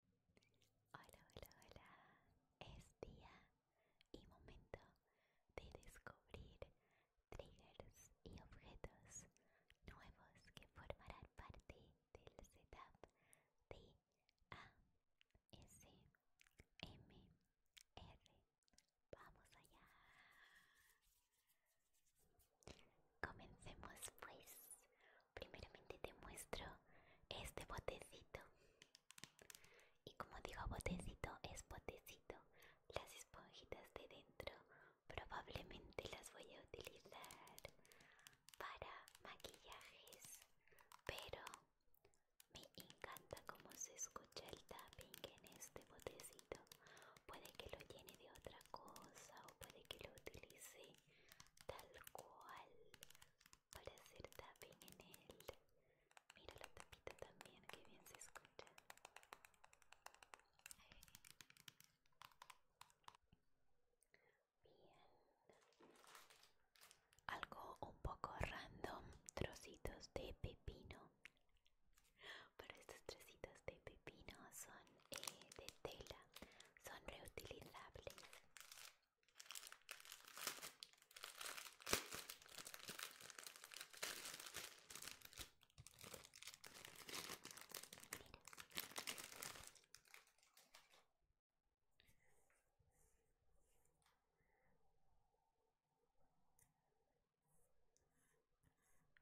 Hola, hola, hola. Es día y momento de descubrir triggers y objetos nuevos que formarán parte del setup de ASMR. Vamos allá. Comencemos pues primeramente te muestro este botecito. Y como digo botecito, es botecito. Las esponjitas de dentro probablemente las voy a utilizar para maquillajes. Pero me encanta cómo se escucha el tapping en este botecito. Puede que lo llene de otra cosa o puede que lo utilice tal cual para hacer tapping en él. Mira la tapita también, que bien se escucha. Bien. Algo un poco random, trocitos de pepino. Pero estos trocitos de pepino son eh, de tela, son reutilizables.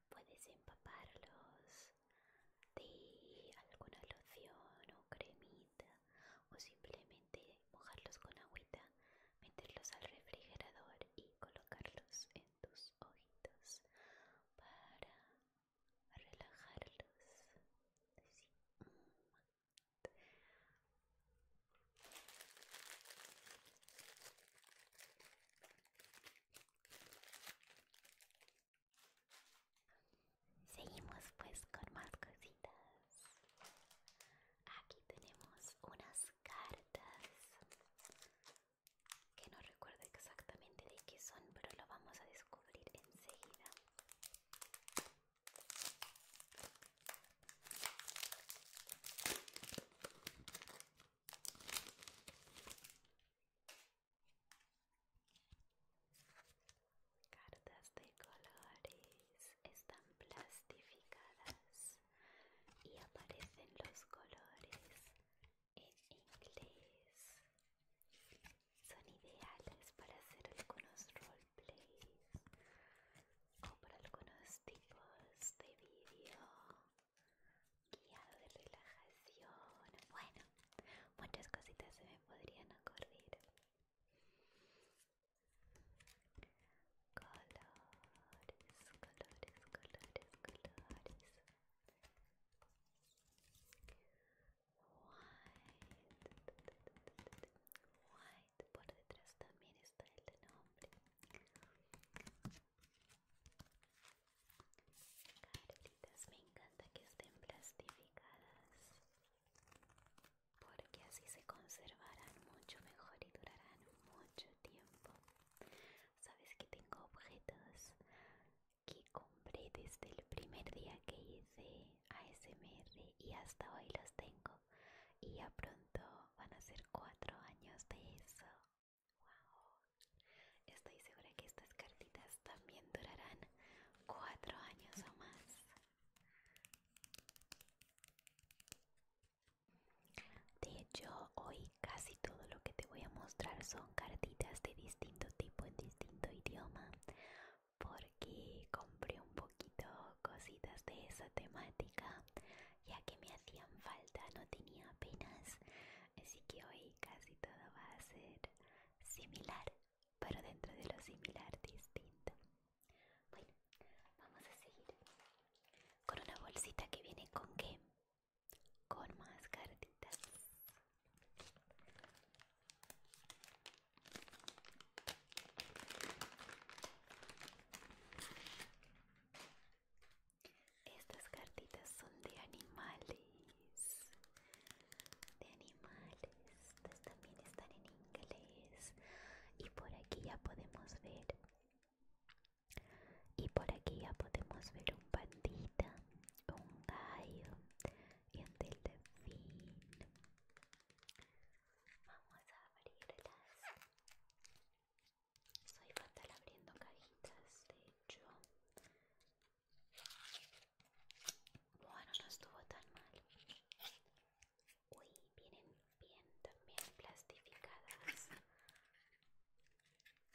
Puedes empaparlos de alguna loción o cremita o simplemente mojarlos con agüita, meterlos al refrigerador y colocarlos en tus ojitos para relajarlos. Seguimos pues con más cositas. Aquí tenemos unas cartas que no recuerdo exactamente de qué son, pero lo vamos a descubrir enseguida. Cartas de colores están plastificadas y aparecen los colores en inglés. Son ideales para hacer algunos roleplays o para algunos tipos de video guiado de relajación. Bueno, muchas cositas se me podrían ocurrir. Colores, colores, colores, colores. White. White. Por detrás también está el de nombre. me encanta que estén plastificadas porque así se conservarán mucho mejor y durarán mucho tiempo. Sabes que tengo objetos que compré desde el primer día que hice ASMR y hasta hoy los tengo y ya pronto van a ser cuatro años de eso. Wow. Estoy segura que estas cartitas también durarán cuatro años o más. De hecho, hoy casi todo lo que te voy a mostrar son cartitas de distinto tipo en distinto idioma, porque compré un poquito cositas de esa temática, ya que me hacían falta, no tenía apenas, así que hoy casi todo va a ser similar pero dentro de lo similar distinto. Bueno, vamos a seguir con una bolsita que viene con qué? Con más cartitas. Estas cartitas son de animales de animales. Estas también están en inglés. Y por aquí ya podemos ver. Y por aquí ya podemos ver un pandita, un gallo y el delfín. Vamos a abrirlas. Soy fatal abriendo cajitas, de hecho. Bueno, no estuvo tan mal. Uy, vienen bien también plastificadas.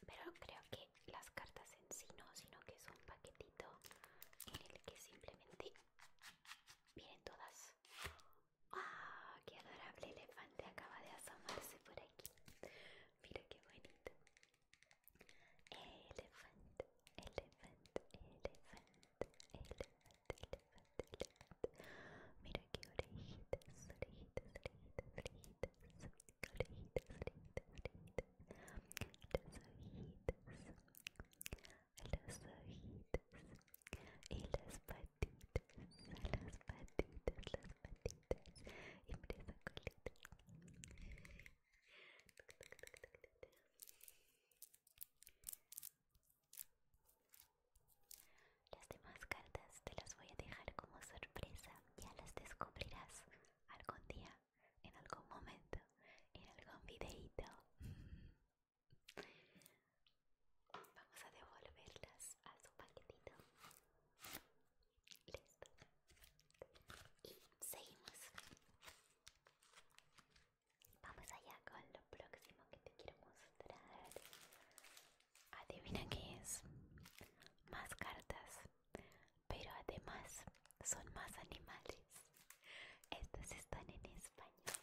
Pero creo que las cartas en sí no, sino que es un paquetito en el que simplemente vienen todas. ¡Ah! ¡Qué adorable elefante acaba de asomarse por aquí! Mira qué bonito elefante elephant, elephant, elefante, elefante, elefante. Mira que orejitas, orejitas, orejitas, orejitas, orejitas, orejitas, orejitas. Las orejitas, orejitas y las patitas, las patitas, las patitas. Y mira las demás cartas te las voy a dejar como sorpresa, ya las descubrirás algún día, en algún momento, en algún videito. Vamos a devolverlas a su paquetito. Listo. Y seguimos. Vamos allá con lo próximo que te quiero mostrar. Adivina qué es. Más cartas. Pero además son más animales. Estas están en español.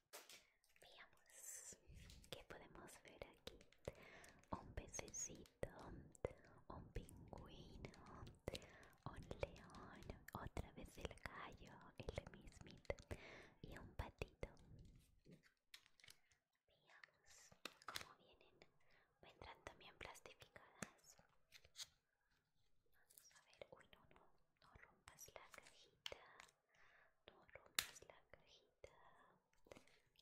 Veamos qué podemos ver aquí. Un pececito, un pingüino, un león, otra vez el gallo, el mismito y un patito. Veamos cómo vienen. Vendrán también plastificadas. Vamos a ver. Uy, no, no, no rompas la cajita. No rompas la cajita.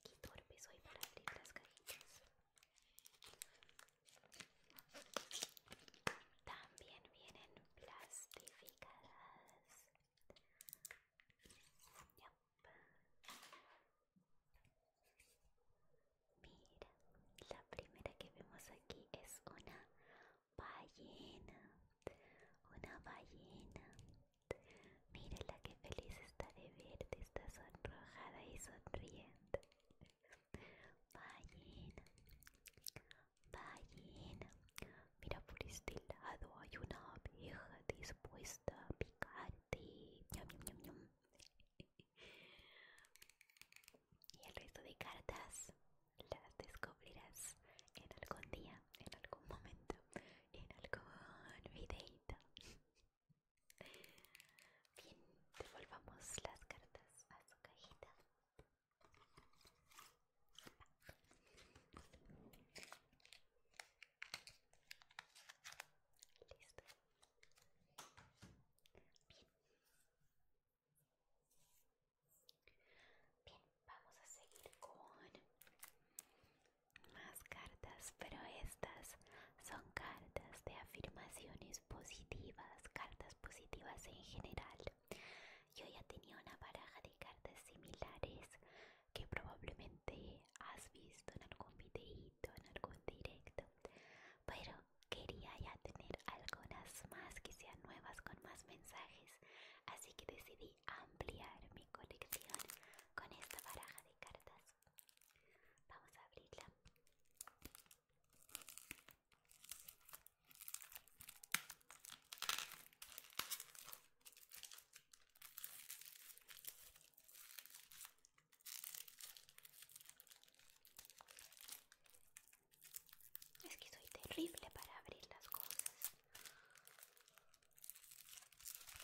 Qué torpe soy para abrir las cajitas. También vienen plastificadas. Mira, la primera que vemos aquí es una ballena. Una ballena la que feliz está de verte, está sonrojada y sonriente. Vayan, vayan mira por este lado hay una abeja dispuesta a picarte. Y el resto de cartas las descubrirás en algún día, en algún momento, en algún videito. Bien, devolvamos las cartas a su cajita. Listo. Bien. Bien vamos a seguir con más cartas, pero estas son cartas de afirmaciones positivas, cartas positivas en general. Yo ya tenía una baraja de cartas similares que probablemente has visto en algún videito, en algún directo, pero quería ya tener algunas más que sean nuevas con más mensajes, así que decidí ampliar mi colección con esta baraja de cartas. Vamos a abrirla. Es que soy terrible para abrir las cosas. Terrible. Lo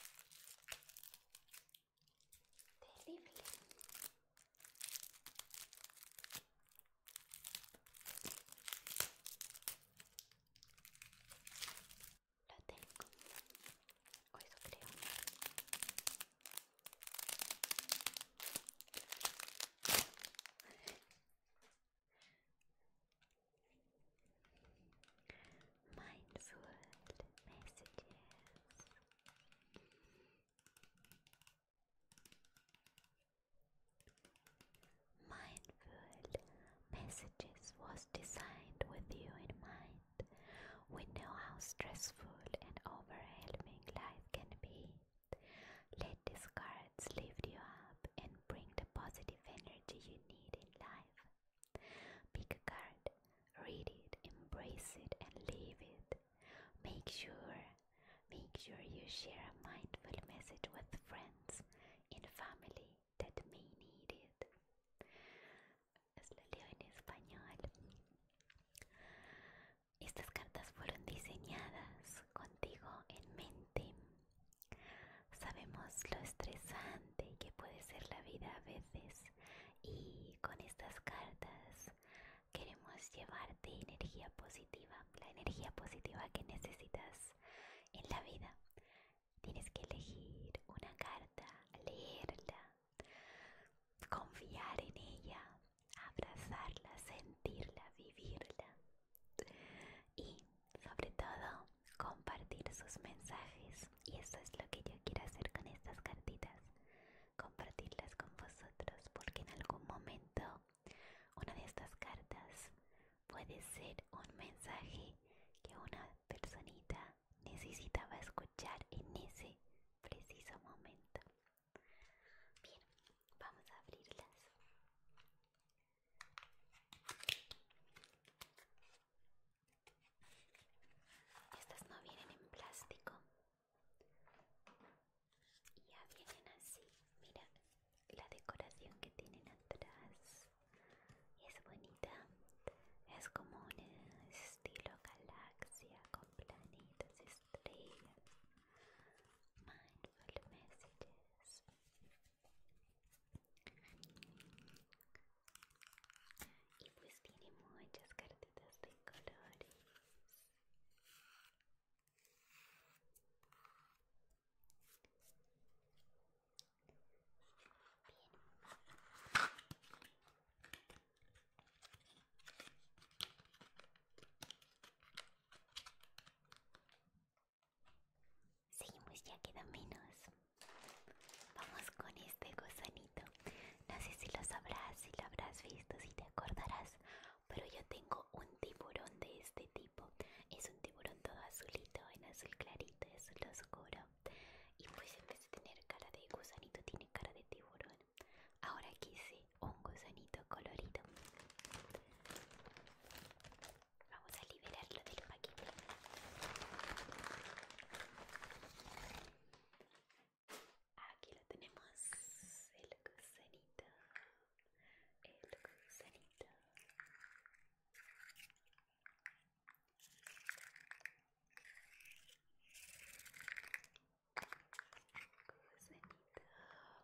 tengo. O eso creo. Mindful messages. Mindful Messages was designed with you in mind. We know how stressful and overwhelming life can be. Let these cards lift you up and bring the positive energy you need in life. Pick a card, read it, embrace it, and leave it. Make sure, make sure you share a mindful message with friends and family that may need it. Estas cartas fueron diseñadas contigo en mente Sabemos lo estresante que puede ser la vida a veces y con estas cartas queremos llevarte energía positiva, la energía positiva que necesitas en la vida. Tienes que elegir una carta, leerla, confiar en ella, abrazarla, sentirla, vivirla. Y sobre todo compartir sus mensajes y eso es lo que yo quiero hacer con estas cartitas, compartirlas con vosotros porque en algún momento una de estas cartas puede ser un mensaje que una personita necesitaba escuchar en ese preciso momento. Bien, vamos a abrirlas. Estas no vienen en plástico. Ya vienen así. Mira la decoración que tienen atrás. Es bonita. Es como un estilo galaxia con planetas, estrellas. Mindful messages. Y pues tiene muchas cartitas de colores. Bien. Seguimos, ya queda menos. Vamos con este gusanito. No sé si lo sabrás, si lo habrás visto, si te acordarás, pero yo tengo un tiburón de este tipo. Es un tiburón todo azulito, en azul clarito, azul oscuro. Y pues en vez de tener cara de gusanito, tiene cara de tiburón. Ahora quise un gusanito colorido. Vamos a liberarlo del paquete. Aquí lo tenemos, el gusanito, el gusanito. Gusanito,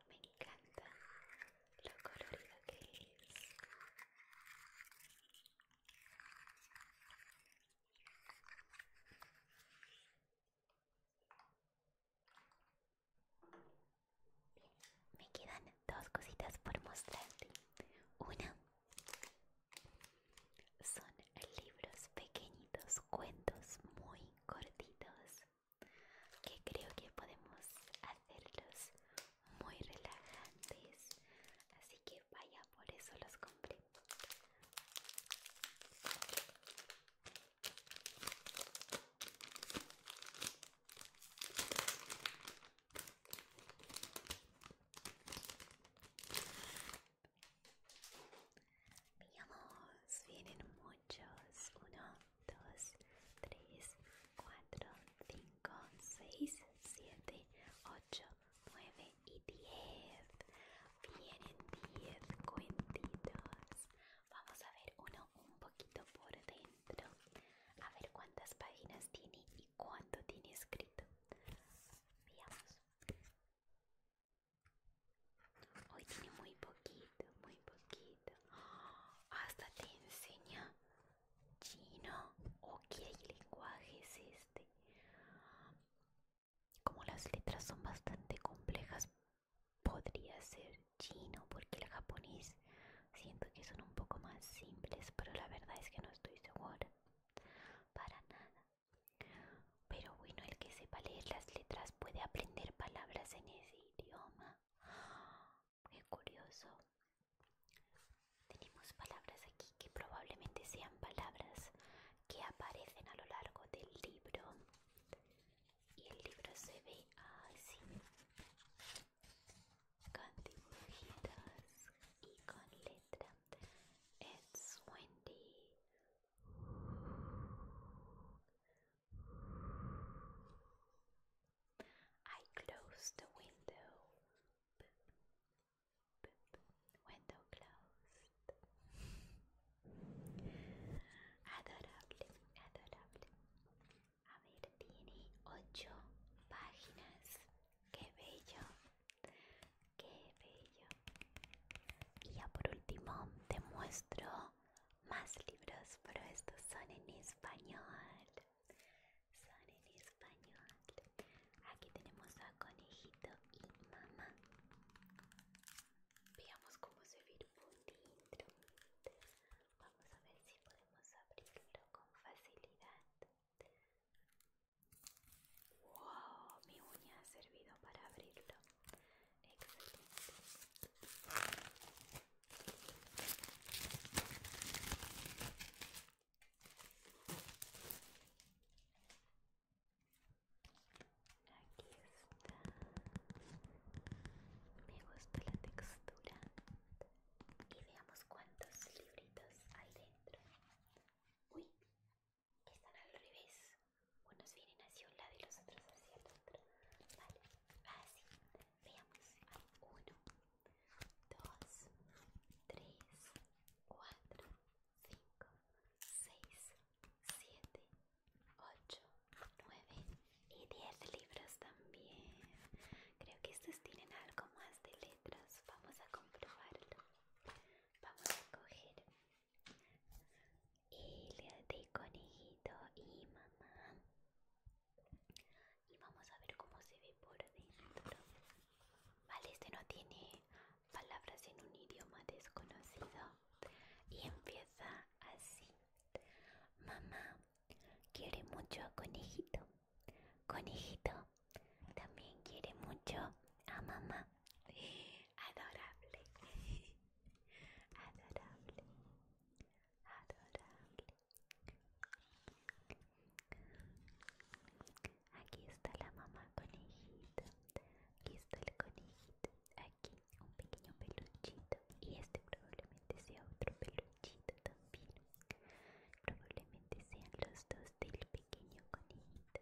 me encanta lo colorido que es me quedan dos cositas por mostrarte. Una son libros pequeñitos, cuentos muy cortitos que creo que podemos hacer hacerlos muy relajantes así que vaya por eso los compré vienen muchos. Uno, dos, tres, cuatro, 5, 6, 7, 8, 9 y 10. Vienen 10 cuentitos. Vamos a ver uno un poquito por dentro. A ver cuántas páginas tiene y cuánto tiene escrito. Veamos. Hoy tiene muy poquito, muy poquito. ¡Ah! hasta te enseña chino o qué lenguaje es este. Como las letras son bastante complejas, podría ser chino porque el japonés siento que son un poco más simples, pero la verdad es que no estoy segura. Para nada. Pero bueno, el que sepa leer las letras puede aprender palabras en ese idioma muy curioso. Tenemos palabras aquí que probablemente sean palabras que aparecen a lo largo del libro. Y el libro se ve así, con dibujitas y con letra. It's windy. I close the window window closed. Adorable, adorable. A ver, tiene ocho páginas. Qué bello, qué bello. Y ya por último te muestro más libros, pero estos son en español son en español. Aquí tenemos a conejito y mamá. Veamos cómo servir un dentro. Vamos a ver si podemos abrirlo con facilidad. ¡Wow! Mi uña ha servido para abrirlo. Excelente. Aquí está. Me gusta la textura. Y veamos cuántos libritos hay dentro. Uy, están al revés. Unos vienen hacia un lado y los otros hacia el otro. Vale, así. Veamos. uno, dos, tres, cuatro, cinco, seis, siete, ocho, nueve y diez libros también. Creo que estos tienen algo más de letras. Vamos a comprobarlo. Vamos a coger el de conejito y mamá y vamos a ver cómo se ve por dentro. Vale, este no tiene palabras en un idioma desconocido y empieza así. Mamá quiere mucho a conejito. Conejito también quiere mucho a mamá. Adorable. Adorable. Adorable. Aquí está la mamá conejita. Aquí está el conejito. Aquí un pequeño peluchito. Y este probablemente sea otro peluchito también. Probablemente sean los dos del pequeño conejito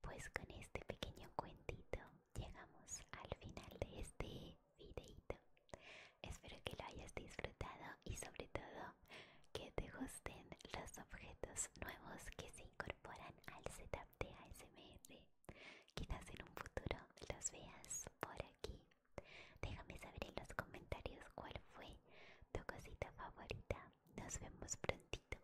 pues con este pequeño cuentito llegamos al final de este videito. Espero que lo hayas disfrutado y sobre todo que te gusten los objetos nuevos que se incorporan al setup de ASMR. Quizás en un futuro los veas por aquí. Déjame saber en los comentarios cuál fue tu cosita favorita. Nos vemos prontito.